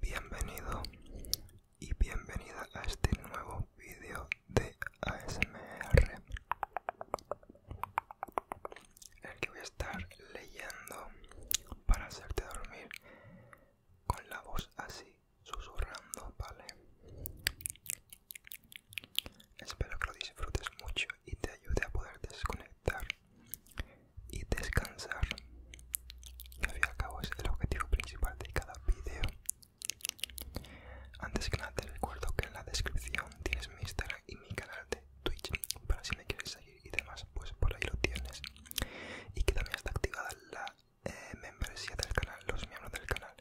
Bienvenido y bienvenida a este nuevo vídeo de ASMR el que voy a estar leyendo para hacerte dormir con la voz así susurrando vale espero que lo disfrutes mucho y te ayude a poder desconectar y descansar. que al fin y al cabo es el objetivo principal de cada vídeo. Antes que nada te recuerdo que en la descripción tienes mi Instagram y mi canal de Twitch para si me quieres seguir y demás, pues por ahí lo tienes. Y que también está activada la eh, membresía del canal, los miembros del canal.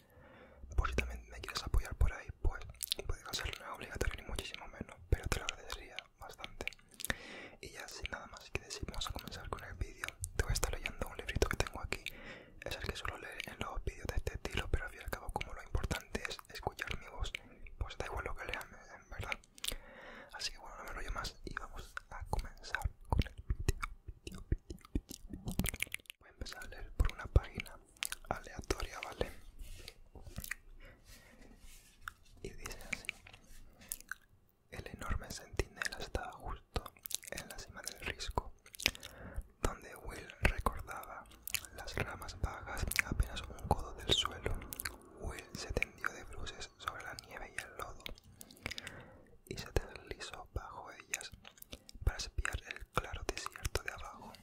Por si también me quieres apoyar por ahí pues pues podría hacerlo no obligatorio ni muchísimo menos, pero te lo agradecería bastante. Y ya sin nada más que decir, vamos a comenzar con el vídeo. Te voy a estar leyendo un librito que tengo aquí, es el que suelo leer en los vídeos de este estilo, pero al fin y al cabo, como lo importante es escuchar mi voz, pues da igual lo que lean, en verdad. Así que bueno, no me lo llevo más y vamos a comenzar con el vídeo. Voy a empezar a leer por una página aleatoria, ¿vale? Y dice así. El enorme centinela estaba justo en la cima del risco, donde Will recordaba las ramas vagas apenas un codo del suelo. Will se tendió de bruces sobre la nieve y el lodo y se deslizó bajo ellas para espiar el claro desierto de abajo.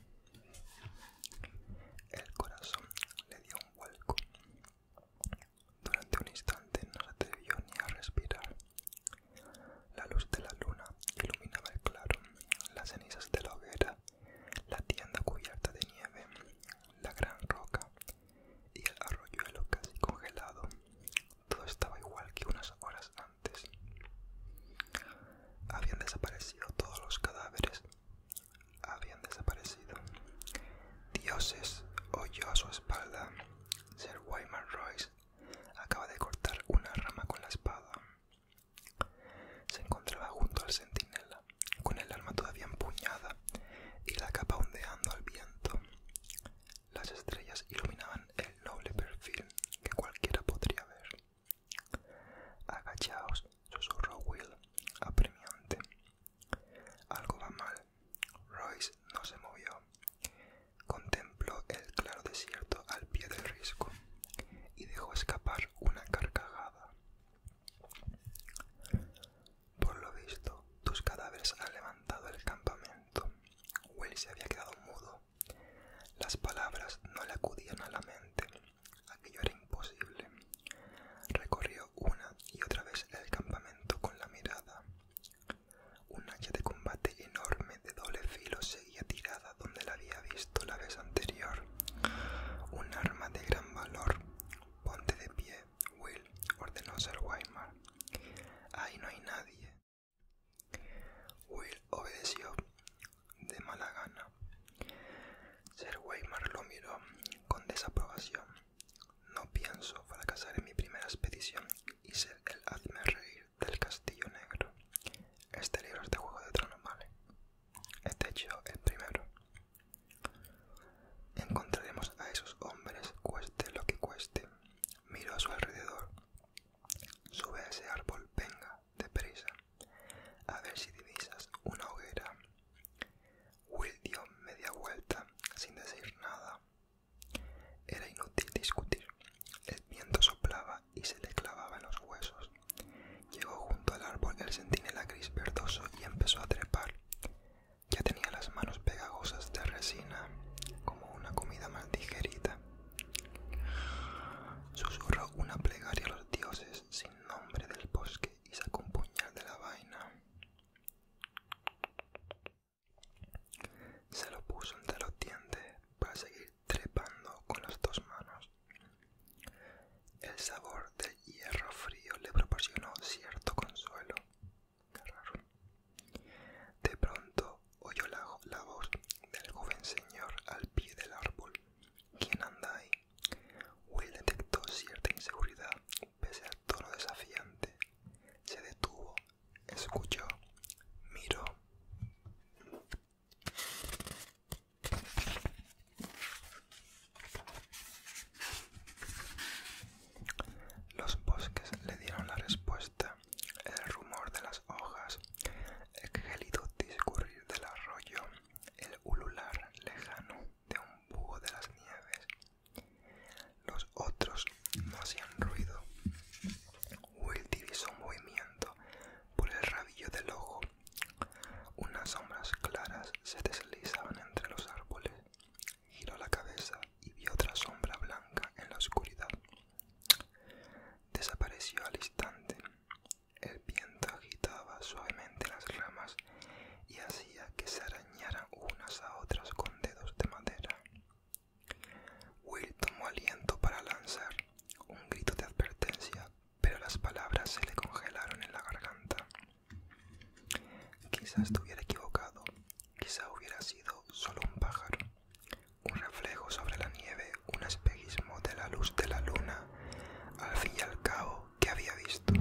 El corazón le dio un vuelco. Durante un instante no se atrevió ni a respirar. La luz de la luna iluminaba el claro, las cenizas de la hoguera, la tienda cubierta de nieve, la gran roca y el arroyuelo casi congelado. Todo estaba igual que unas horas antes. Habían desaparecido todos los cadáveres, habían desaparecido. Dioses, oyó a su espalda. Sir Wyman Royce acaba de cortar una rama con la espada. Se encontraba junto al centinela, con el arma todavía empuñada y la capa ondeando al viento. Las estrellas iluminaban el noble perfil que cualquiera podría ver. Agachaos, susurró Will, apremiante. Algo va mal. Royce no se movió. Contempló el claro desierto al pie del risco y dejó escapar una carcajada. Por lo visto, tus cadáveres han levantado el campamento. Will se había quedado mudo. Las palabras no le acudían a la mente. Aquello era imposible. Recorrió una y otra vez el campamento con la mirada. Un hacha de combate enorme de doble filo seguía tirada donde la había visto la vez anterior. Un arma de gran valor. Ponte de pie, Will, ordenó ser Weimar. Ahí no hay nadie. Will obedeció de mala gana. Sir Weimar lo miró con desaprobación. No pienso fracasar en mi primera expedición y ser el hazme reír del castillo negro. Este libro es de Juego de Tronos, ¿vale? Este hecho el primero. Encontraremos a esos hombres, cueste lo que cueste. Miro a su alrededor. Sube a ese árbol, venga, de deprisa. A ver si divisas una hoguera. Will dio media vuelta sin decir nada. Era inútil discutir. El viento soplaba y se le clavaba en los huesos. Llegó junto al árbol el sentinela gris verdoso y empezó a trepar. Ya tenía las manos pegajosas de resina, como una comida mal digerida. Susurró una plegaria a los dioses sin nombre del bosque y sacó un puñal de la vaina. Se lo puso entre los dientes para seguir trepando con las dos manos. El sabor del hierro frío le proporcionó cierto consuelo. De pronto oyó la, voz del joven señor al pie del árbol. ¿Quién anda ahí? Will detectó cierta inseguridad pese al tono desafiante. Se detuvo, escuchó, miró. Los bosques le dieron la respuesta, el rumor de las hojas, el gélido discurrir del arroyo, el ulular lejano de un búho de las nieves. Los otros no hacían ruido. Will divisó un movimiento por el rabillo del ojo. Unas sombras claras se deslizaban entre los árboles. Giró la cabeza y vio otra sombra blanca en la oscuridad. Desapareció al instante. El viento agitaba suavemente las ramas y hacía que se arañaran unas a otras con dedos de madera. Will tomó aliento para lanzar un grito de advertencia, pero las palabras se le congelaron en la garganta. Quizá estuviera equivocado, quizá hubiera sido solo un pájaro, un reflejo sobre la nieve, un espejismo de la luz de la luna, al fin y al cabo, que había visto?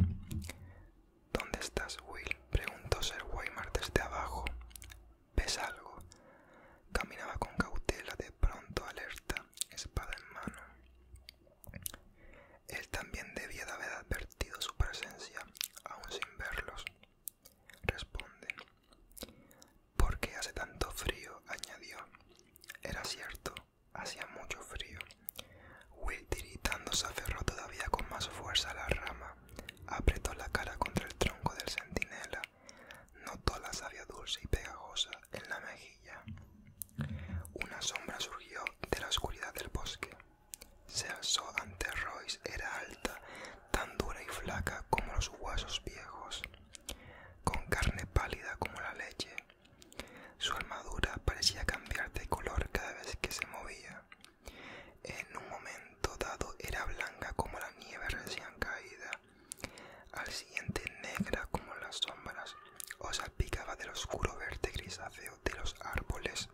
¿Dónde estás, Will? preguntó Sir Weimar desde abajo. ¿Ves algo? Caminaba con cautela, de pronto alerta, espada en mano. Él también debía de haber advertido su presencia, aún sin verlos. Responde. ¿Por qué hace tanto frío? añadió. Era cierto, Hacía mucho frío. Will, tiritando, se aferró todavía con más fuerza a la rama. Apretó la cara contra el tronco del centinela. Notó la savia dulce y pegajosa en la mejilla. Una sombra surgió de la oscuridad del bosque. Se alzó ante Royce. Era alta, tan dura y flaca como los huesos viejos, con carne pálida como la leche su armadura parecía cambiar de color cada vez que se movía. En un momento dado era blanca como la nieve recién caída, al siguiente negra como las sombras, o salpicaba del oscuro verde grisáceo de los árboles.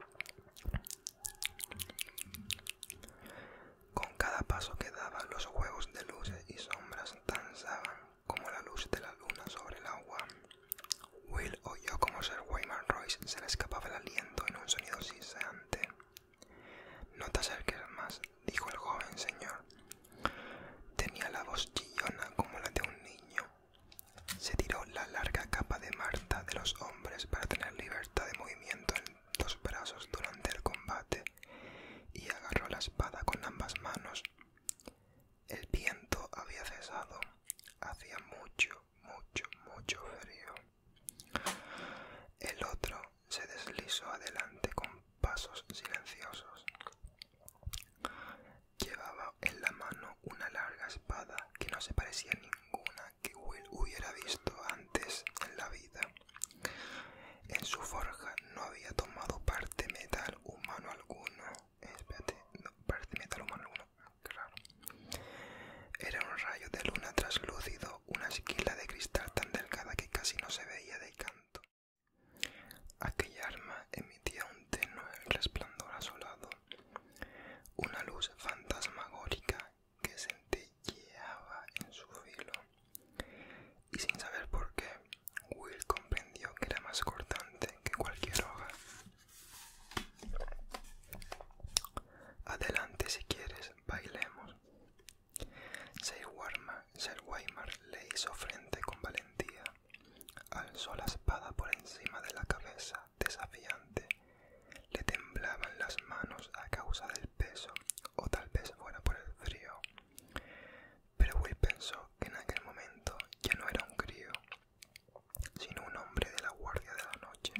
Con cada paso que daba, los juegos de luces y sombras danzaban como la luz de la luna sobre el agua. Will oyó como Sir Wayman Royce se le escapaba el aliento en un sonido siseante. No te acerques más, dijo el joven señor. Tenía la voz chillona como la de un niño. Se tiró la larga capa de Marta de los hombres para tener libertad de movimiento en los brazos durante el combate y agarró la espada con ambas manos. El viento había cesado, hacía mucho, mucho, mucho frío. El otro se deslizó adelante con pasos silenciosos. Llevaba en la mano una larga espada que no se parecía a ninguna que Will hubiera visto antes en la vida. En su forja no había tomado parte metal humano alguno. Espérate, no, parte metal humano alguno. Era un rayo de luna traslúcido, una esquila de cristal tan delgada que casi no se veía de canto. Aquella arma emitía un tenue resplandor azulado, una luz fantasmagórica que centelleaba en su filo. Y sin saber por qué, Will comprendió que era más cortante que cualquier hoja Adelante si quieres, bailemos. Sir Weimar le hizo frente con valentía, alzó la espada por encima de la cabeza, desafiante. Le temblaban las manos a causa del peso, o tal vez fuera por el frío. Pero Will pensó que en aquel momento ya no era un crío, sino un hombre de la guardia de la noche.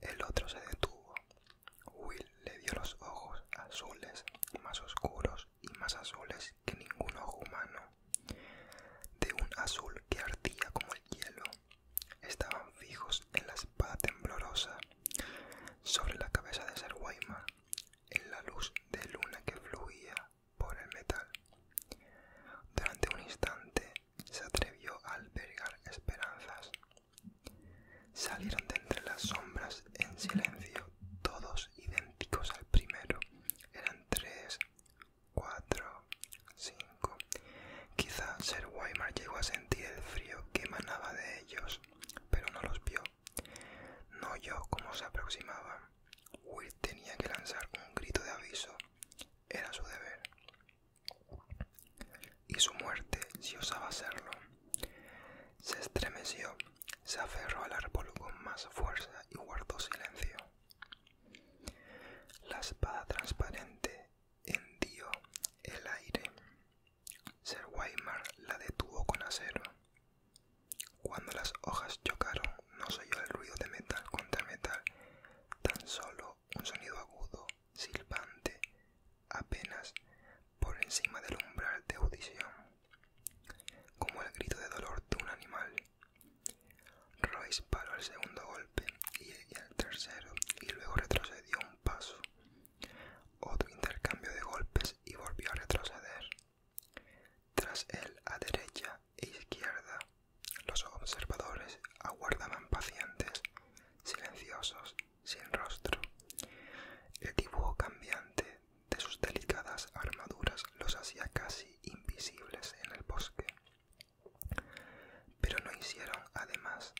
El otro se detuvo. Will le vio los ojos azules, más oscuros y más azules que ningún ojo humano, de un azul que ardía como el hielo. Estaban fijos en la espada temblorosa, sobre la cabeza de Ser en la luz de luna que fluía por el metal. Durante un instante se atrevió a albergar esperanzas. Salieron de entre las sombras en silencio, todos idénticos al primero. Eran tres, cuatro, cinco. Quizá Sir Weimar llegó a sentir el frío que emanaba de ellos, pero no los vio. No oyó cómo se aproximaban. Will tenía que lanzar un grito de aviso. Era su deber. Y su muerte, si osaba hacerlo. Se estremeció, se aferró al árbol con más fuerza y guardó silencio. La espada transparente hendió el aire. Ser Weimar la detuvo con acero. Cuando las hojas chocaron, no se oyó el ruido de metal contra metal, tan solo un sonido agudo, silbante, apenas por encima del umbral de audición, como el grito de dolor de un animal. Royce paró el segundo golpe y el tercero, y luego retrocedió un paso. Otro intercambio de golpes y volvió a retroceder. Tras él, a derecha, izquierda, los observadores aguardaban pacientes, silenciosos, sin rostro. El dibujo cambiante de sus delicadas armaduras los hacía casi invisibles en el bosque. Pero no hicieron, además,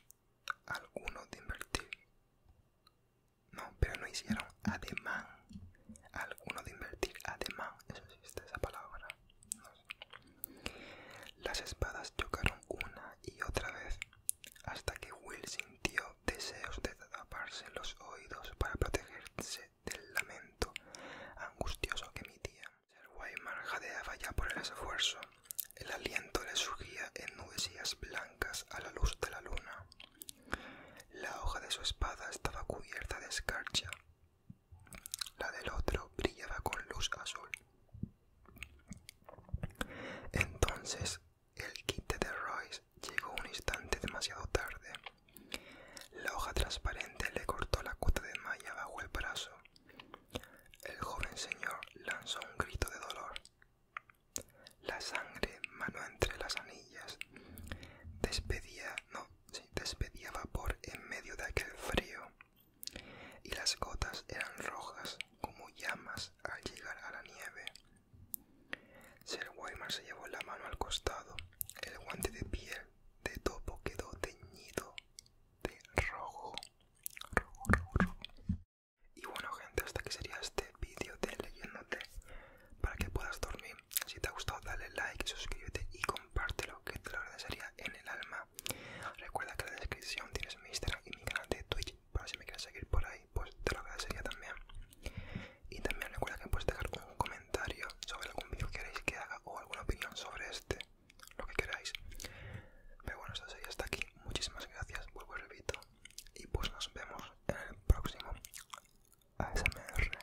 alguno de invertir. No, pero no hicieron ademán. Alguno de invertir ademán, eso existe esa palabra. Las espadas chocaron una y otra vez, hasta que Will sintió deseos de taparse los oídos para protegerse del lamento angustioso que emitía Sir Weimar jadeaba ya por el esfuerzo. El aliento le surgía en nubecillas blancas a la luz de la luna. La hoja de su espada estaba cubierta de escarcha la del otro brillaba con luz azul. Entonces el quite de Royce llegó un instante demasiado tarde. La hoja transparente le cortó la cuota de malla bajo el brazo. El joven señor lanzó un grito de dolor. La sangre, manó entre las anillas, despedía no se despedía vapor en medio de aquel frío, y las gotas eran rojas como llamas al llegar a la nieve. Sir Weimar se llevó la mano al costado, el guante de piel de topo quedó teñido de rojo. Y bueno gente, hasta aquí sería este vídeo de leyéndote para que puedas dormir si te ha gustado dale like, suscríbete y compártelo que te lo agradecería en el alma. Recuerda que en la descripción tienes mi Instagram y mi canal de Twitch para si me quieres seguir por ahí pues te lo agradecería también. Y también recuerda que puedes dejar un comentario sobre algún vídeo que queréis que haga o alguna opinión sobre este, lo que queráis. Pero bueno, esto sería hasta aquí. Muchísimas gracias, vuelvo y repito. Y pues nos vemos en el próximo ASMR.